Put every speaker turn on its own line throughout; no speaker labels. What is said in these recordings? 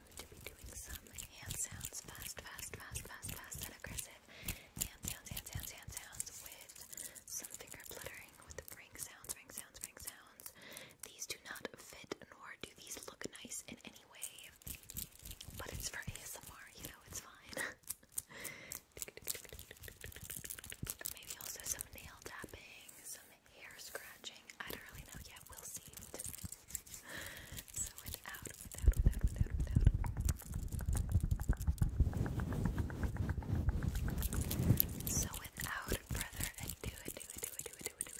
I'm going to be doing some hand sounds, fast, fast, fast, fast, fast, and aggressive hand sounds, hand sounds, hand sounds with some finger fluttering with the ring sounds, ring sounds, ring sounds. These do not fit nor do these look nice in any way, but it's for ASMR, you know, it's fine. Maybe also some nail tapping, some hair scratching. I don't really know yet. We'll see. so without, without, without, without, without.
So without further ado, let's get into the video.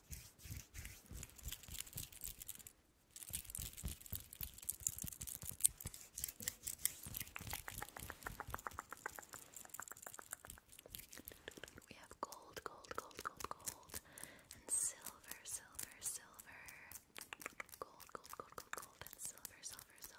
We have gold, gold, gold, gold, gold, and silver, silver, silver. Gold, gold, gold, gold, gold, and silver, silver, silver.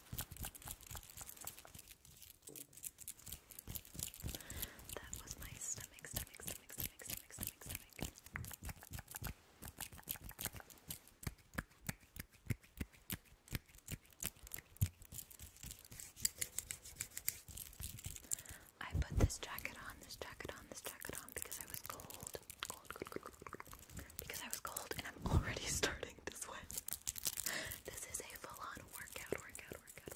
That was my stomach, stomach, stomach, stomach, stomach, stomach, stomach. I put this jacket on, this jacket on, this jacket on because I was cold. Cold, cold, cold, cold, because I was cold and I'm already starting to sweat. This is a full on workout, workout, workout,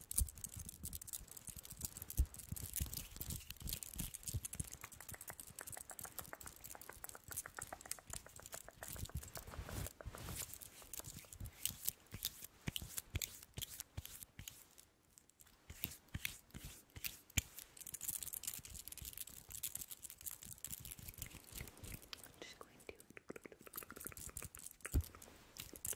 I'm just going to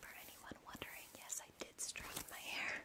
For anyone wondering, yes, I did straighten my hair.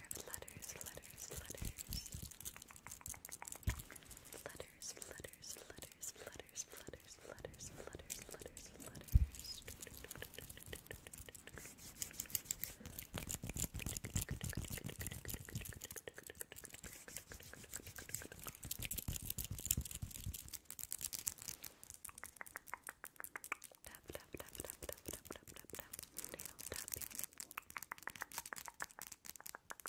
Think of letters, letters, letters. Letters, flutters, flutters, flutters, flutters, flutters, flutters, flutters, flutters, flutters. Tap, tap, tap, tap, tap, tap, tap, tap, tap,
tapping.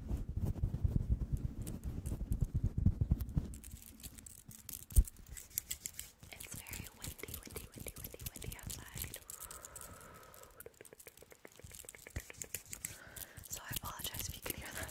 It's very windy, windy, windy, windy, windy outside. So I apologize if you can hear that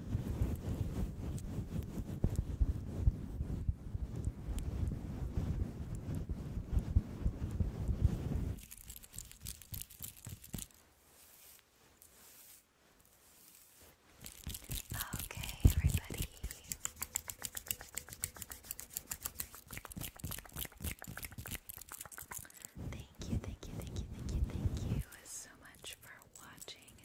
Okay, everybody. Thank you, thank you, thank you, thank you, thank you so much for watching